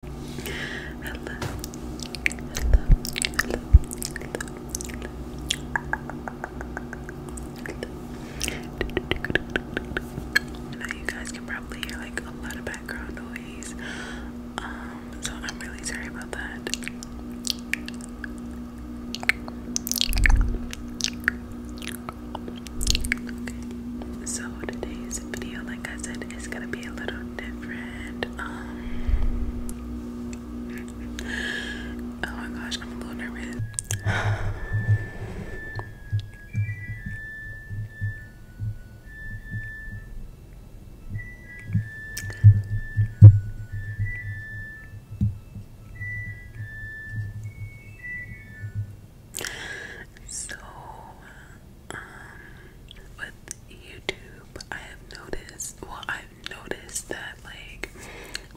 hello, hello, hello, hello. I you guys can probably hear like a lot of background noise, um, so I'm really sorry about that. so today's video, like I said, it's gonna be a little different. Um, oh my gosh, I'm a little nervous. So um, with YouTube, I have noticed, well, I've noticed that, like,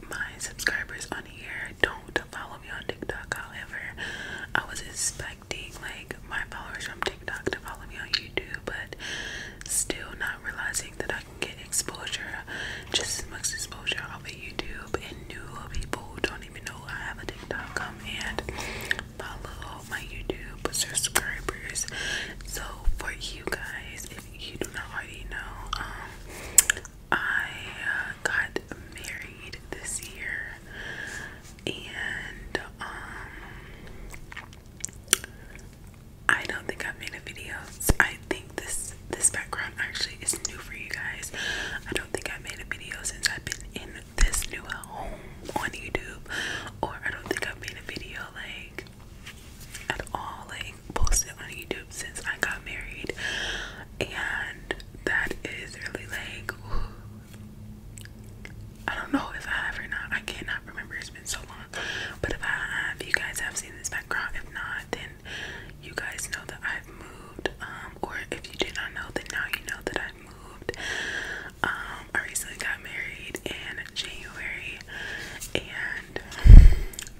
my subscribers on here don't follow me on TikTok. However, I was expecting, like, my followers from TikTok to follow me on YouTube, but still not realizing that I can get exposure, just as much exposure off of YouTube, and new people who don't even know I have a TikTok um, account follow my YouTube subscribers. So for you guys, if you do not already know, um, I uh, got married this year, and um, I don't think I've made a video. I think this this background actually is new for you guys. I don't think I made a video since I've been in this new at home on YouTube, or I don't think I've made a video like at all, like posted on YouTube since I got married, and that is really like I don't know if I have or not. I cannot remember. It's been so long, but if I have, you guys have seen this background. If not, then you guys know that I've moved. Um, or if you did not know, then now you know that I've moved. Um, I recently got married in January, and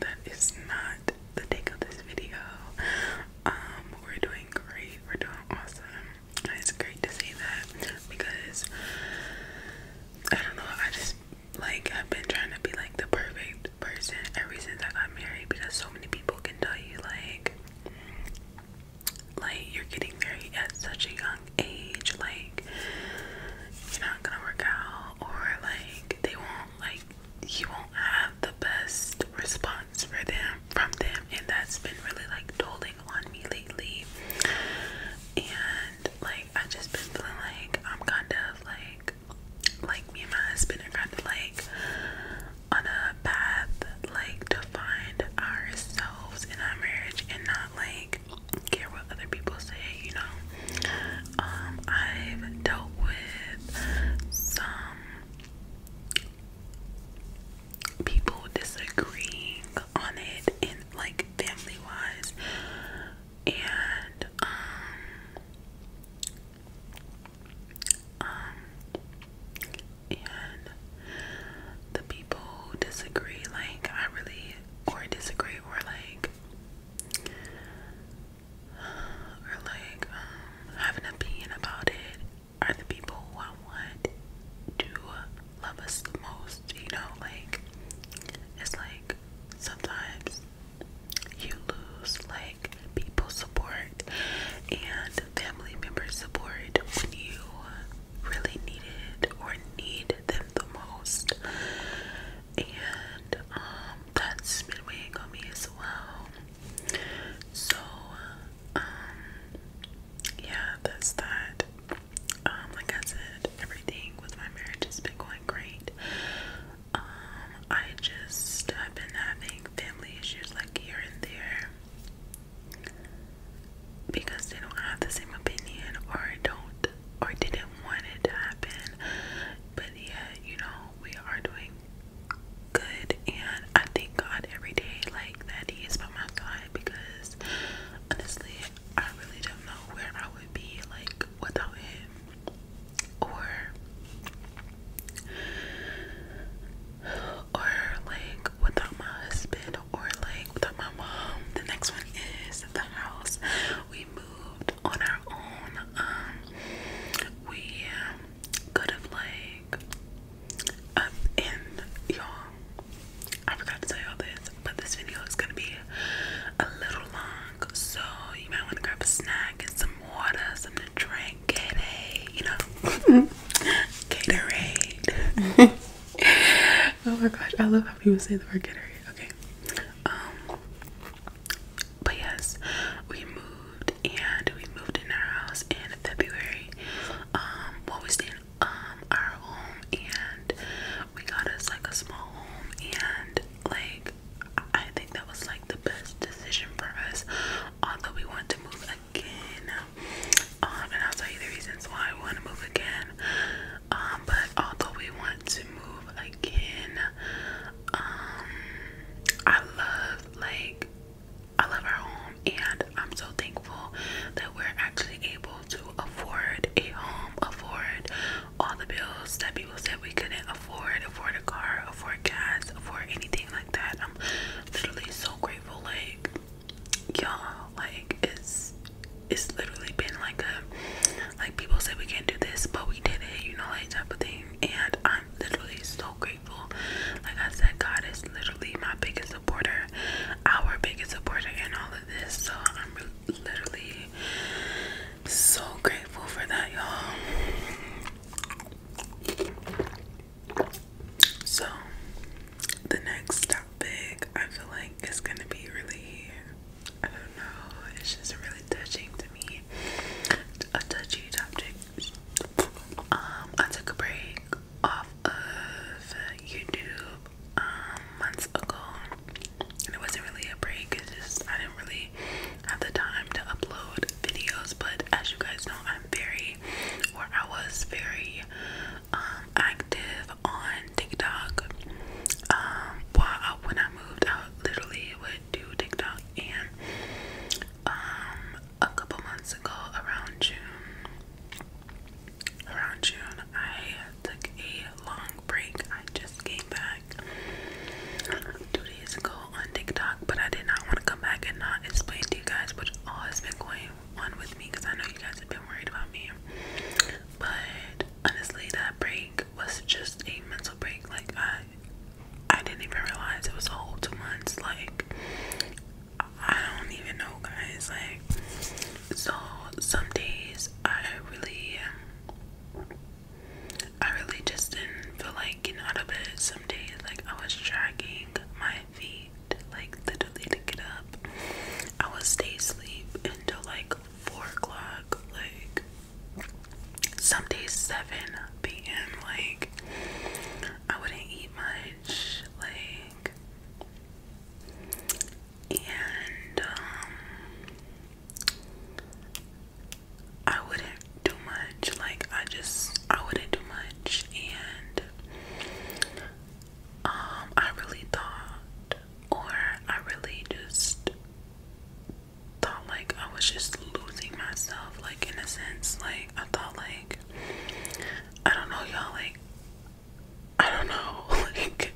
that is not the take of this video. Um, we're doing great, we're doing awesome. it's great to see that because I don't know, I just like I've been trying to be like the perfect person ever since I got married because so many people can tell you like like you're getting married at such a young age, like you're not gonna work out, or like they won't like you won't have the best response for them from them, and that's been really like tolling on me lately. And like I have just been feeling like I'm kind of like like me and my husband are kind of like on a path like to find ourselves in our marriage and not like care what other people say, you know. Um, I've dealt with some people disagreeing on it and like family wise and um, um and the people who disagree, like I really or disagree or like or like um, an opinion about it are the people I want to love us the most, you know, like it's like sometimes you lose like people support and family members support when you really need it or need them the most. And um, that's been weighing on me as well. So, um, yeah, that's that. Um, like I said, everything with my marriage has been going great. I just have been having family issues like here and there because they don't have the same opinion or don't or didn't want it to happen. But yeah, you know, we are doing good and I thank God every day like that he is by my side because honestly I really don't know where I would be like without him or or like without my husband or like without my mom. The next one is the house. We moved on our own. Um, we um, could have like up in y'all I forgot to tell y'all this, but this video is gonna be a little long, so you might want to grab a snack and some water, something to drink like Gatorade, you know, Gatorade. oh my gosh, I love how people say the word Gatorade. Okay, um, but yes, we moved and we moved in our house in February. Um, what we stayed um our home and we got us like a small home and like I think that was like the best decision for us. Although we wanted to move again. Um, and I'll tell you the reasons why I want to move again. Um, but although we want to move again, um, I love like I love our home, and I'm so thankful that we're actually able to afford a home, afford all the bills that people said we couldn't afford, afford a car, afford gas, afford anything like that. I'm literally so grateful like y'all, like it's it's literally been like a like people say we can't do this, but we did it. You know, like type of thing. And I'm literally so grateful. Like I said, God is literally my biggest supporter, our biggest supporter in all of this. So I'm literally so grateful for that, y'all. So, the next topic I feel like is gonna be really, I don't know, it's just really touching to me. A touching topic. Um, I took a break off of YouTube um months ago, and it wasn't really a break. It's just I didn't really have the time to upload videos. But as you guys know, I'm very where I was very um, active on TikTok. Um, while when I moved out, literally would do TikTok, and um, a couple months ago, around June, around June, I took a long break. I just came back two days ago, on TikTok, but I did not want to come back and not explain to you guys what all has been going on with me because I know you guys have been worried about me. But honestly, that break was just a mental break. Like I, I didn't even realize it was a whole two months. Like I don't even know, guys. Like so, some days I really. Um, I really just didn't feel like getting out of bed some days. Like I was dragging my feet, like literally to get up. I would stay asleep until like four o'clock, like some days seven p.m. Like I wouldn't eat much, like and um, I wouldn't do much. Like I just I wouldn't do much and um I really thought or I really just thought like I was just losing myself like in a sense like I thought like I don't know y'all like I don't know like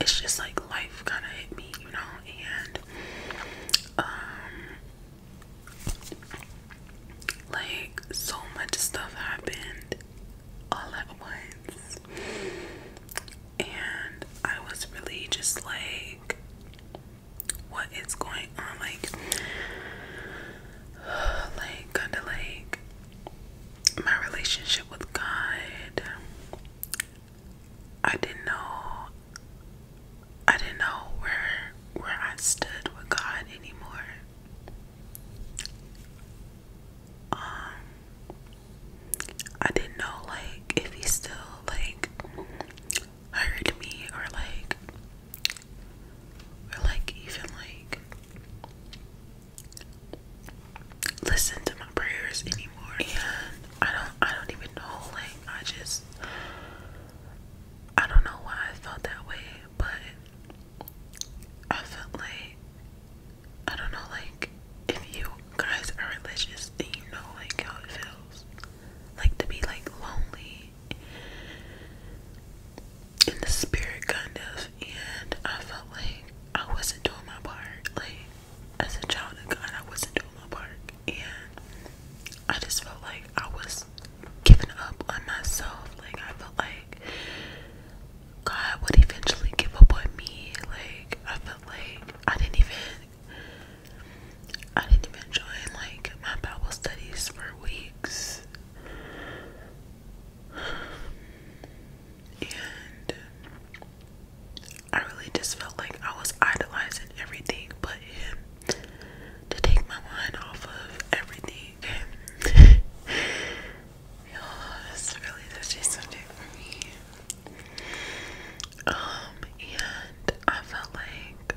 it's just like life kind of hit me you know and um like, so much stuff happened all at once. And I was really just like, what is going on? Like, like, kind of like my relationship with God. I didn't know I didn't know where where I stood with God anymore. Um I didn't know like if he still like heard me or like or like even like listen to my prayers anymore and I don't I don't even know like I just I don't know why I felt that way, but I felt like I don't know, like if you guys are religious, you know like how it feels, like to be like lonely in the spirit, kind of. And I felt like I wasn't doing my part, like as a child of God, I wasn't doing my part, and I just felt like I was given up on myself. Like I felt like God would eventually give up on me. Like I felt like I didn't even I didn't even join like my Bible studies for weeks. And I really just felt like I was idolizing everything but him to take my mind off of everything. Okay? oh, really touchy subject Um, and I felt like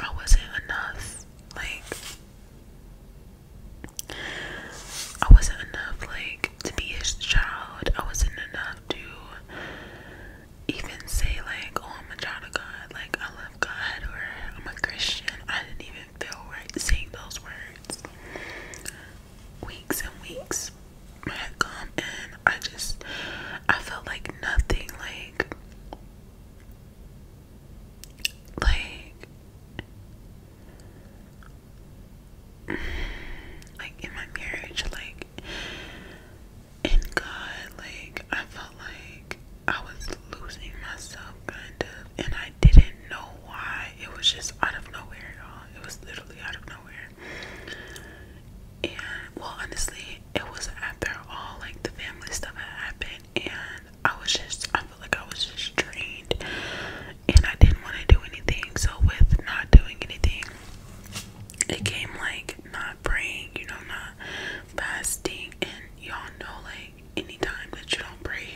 I wasn't enough. Like, I wasn't enough, like, to be his child. I wasn't enough to even say like, oh, I'm a child of God, like I love God, or I'm a Christian. I didn't even feel right saying those words. Weeks and weeks had come, and I just, I felt like nothing, like, like, like in my marriage, like and God, like I felt like I was losing myself kind of and I didn't know why. It was just out of nowhere, y'all. It was literally out of nowhere. And well honestly it was after all like the family stuff had happened and I was just I felt like I was just drained and I didn't want to do anything. So with not doing anything it came like not praying, you know, not fasting and y'all know like anytime that you don't pray,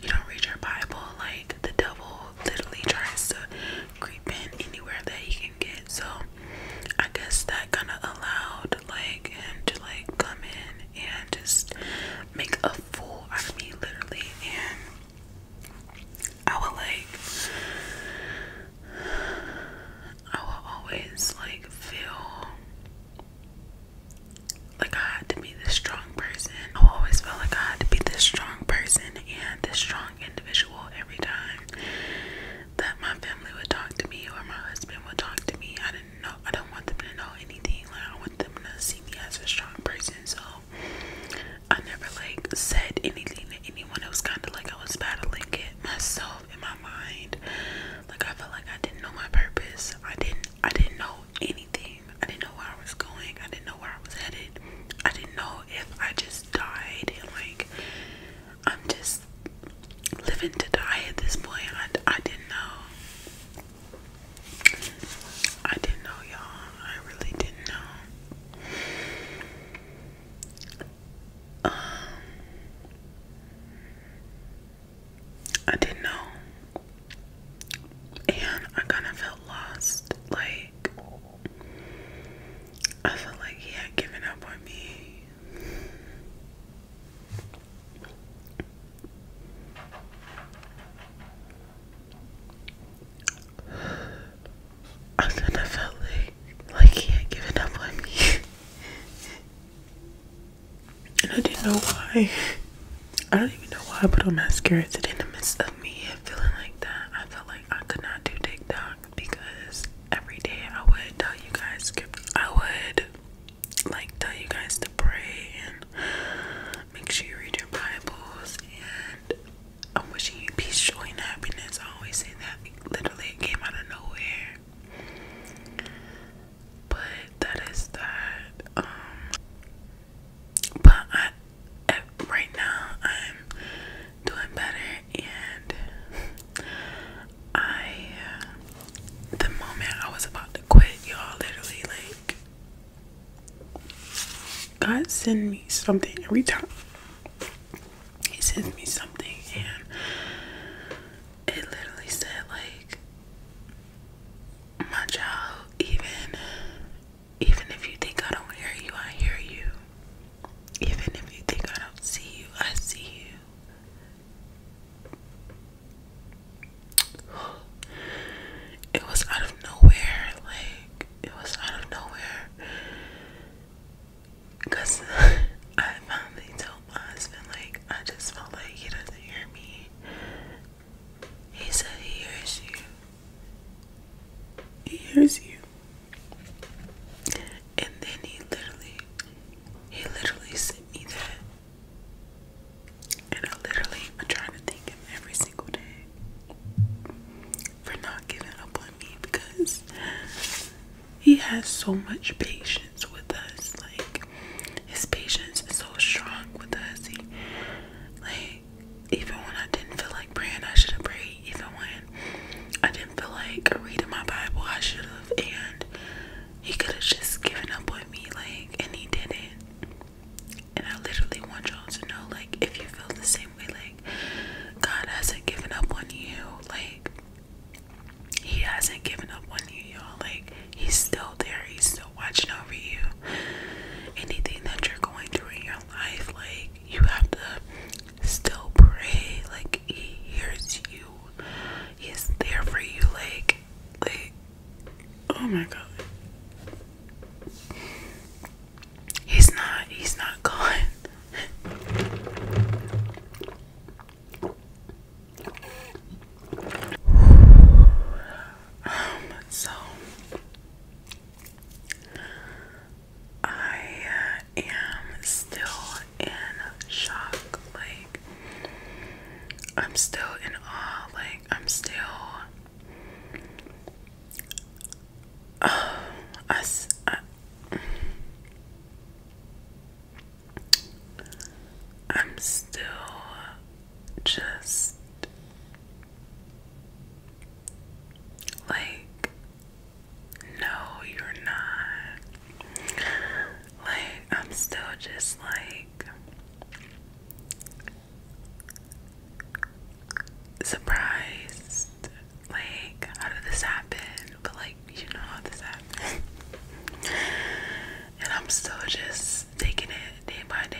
you don't read your Bible, like the devil literally tries to creep in anywhere that he can get. So I guess that kinda allowed like him to like come in and just make a fool out of me literally and I would like I will always like feel like I had to be this strong person. I will always feel like I had to be this strong person and this strong individual every time that my family would talk to me or my husband would talk to me. I didn't know I don't want them to know anything. Like I want them to see me as a strong person. So I never like said anything to anyone. It was kinda like I was battling it myself in my mind. Like I felt like I didn't know my purpose. I didn't I didn't know anything. I didn't know where I was going. I didn't know where I was headed. I didn't know if I just died and like I'm just living to die at this point. I didn't know. I didn't know y'all. I really didn't know. Um, I didn't know, and I kind of felt lost. Like, I felt like he had given up on me. I kind of felt like, he had given up on me. and I didn't know why. I don't even know why I put on mascara today in the midst of me feeling like that. I felt like I could not do TikTok because every day I would tell you guys, I would like tell you guys to pray and make sure you read your Bibles. And I'm wishing you peace, joy, and happiness. I always say that literally it came out of nowhere. But that is that. Um, but right now I'm doing better and I uh, the moment I was about to quit y'all literally like God send me something every time he sent me something and it literally said like my child even even if you think I don't hear you I hear you even if you think I don't see you I see you it was out of nowhere like it was out of nowhere Cause I finally told my husband, like, I just felt like he doesn't hear me. He said he hears you. He hears you. And then he literally, he literally sent me that. And I literally, I trying to thank him every single day for not giving up on me because he has so much patience with us. Like his patience is so strong with us. He like even when I didn't feel like praying, I should have prayed. Even when I didn't feel like reading my Bible, I should have. And he could have just given up on me, like, and he didn't. And I literally want y'all to know, like, if you feel the same like, God hasn't given up on you. Like, He hasn't given up on you, y'all. Like, He's still there. He's still watching over you. Anything that you're going through in your life, like, you have to still pray. Like, He hears you. He's there for you. Like, like, oh my God. He's not, he's not gone. um, so I uh, am still in shock. Like, I'm still in awe. Like, I'm still I'm still just like, no, you're not. Like, I'm still just like surprised like, how did this happen? But like, you know how this happened. and I'm still just taking it day by day.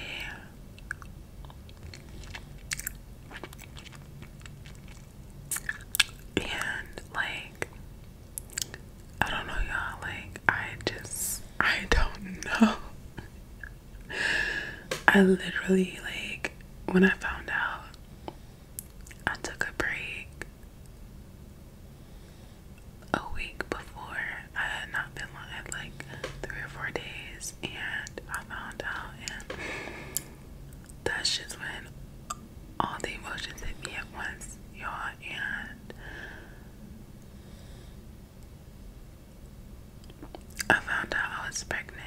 And like, I don't know, y'all. Like, I just, I don't know. I literally, like, when I found out, I took a break a week before. I had not been live like three or four days, and I found out, and that's just when all the emotions hit me at once, y'all. And I found out I was pregnant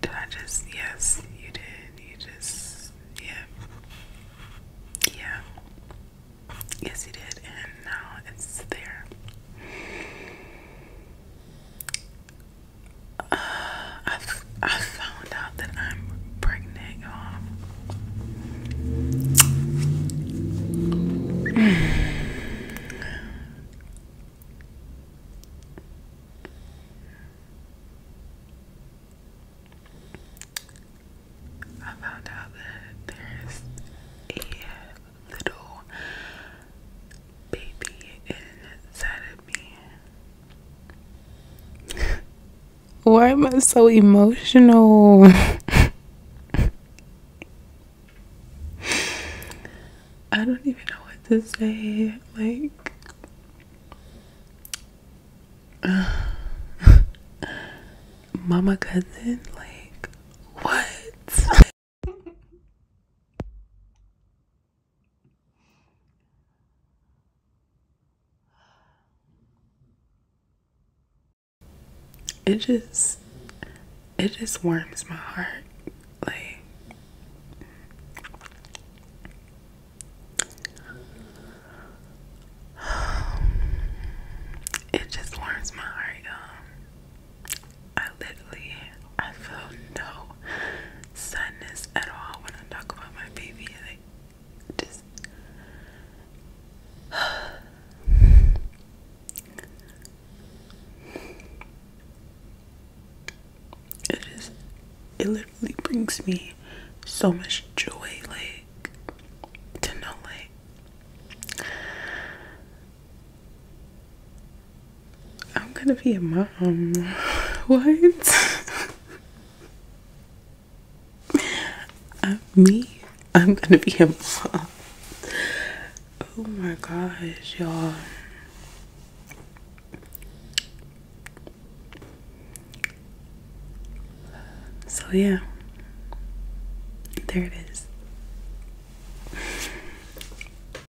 did I just? Yes, you did. You just, yeah, yeah. Yes, you did, and now it's there. Uh, I, I found out that I'm pregnant, you I found out that there's a little baby inside of me. Why am I so emotional? I don't even know what to say. Like, mama cousin, like, what? it just it just warms my heart like it just warms my heart I literally I feel no sadness at all when I talk about my baby. Like just it just it literally brings me so much joy like to know like I'm gonna be a mom. What? I'm uh, me. I'm gonna be a mom. Oh my gosh, y'all. So, yeah, there it is.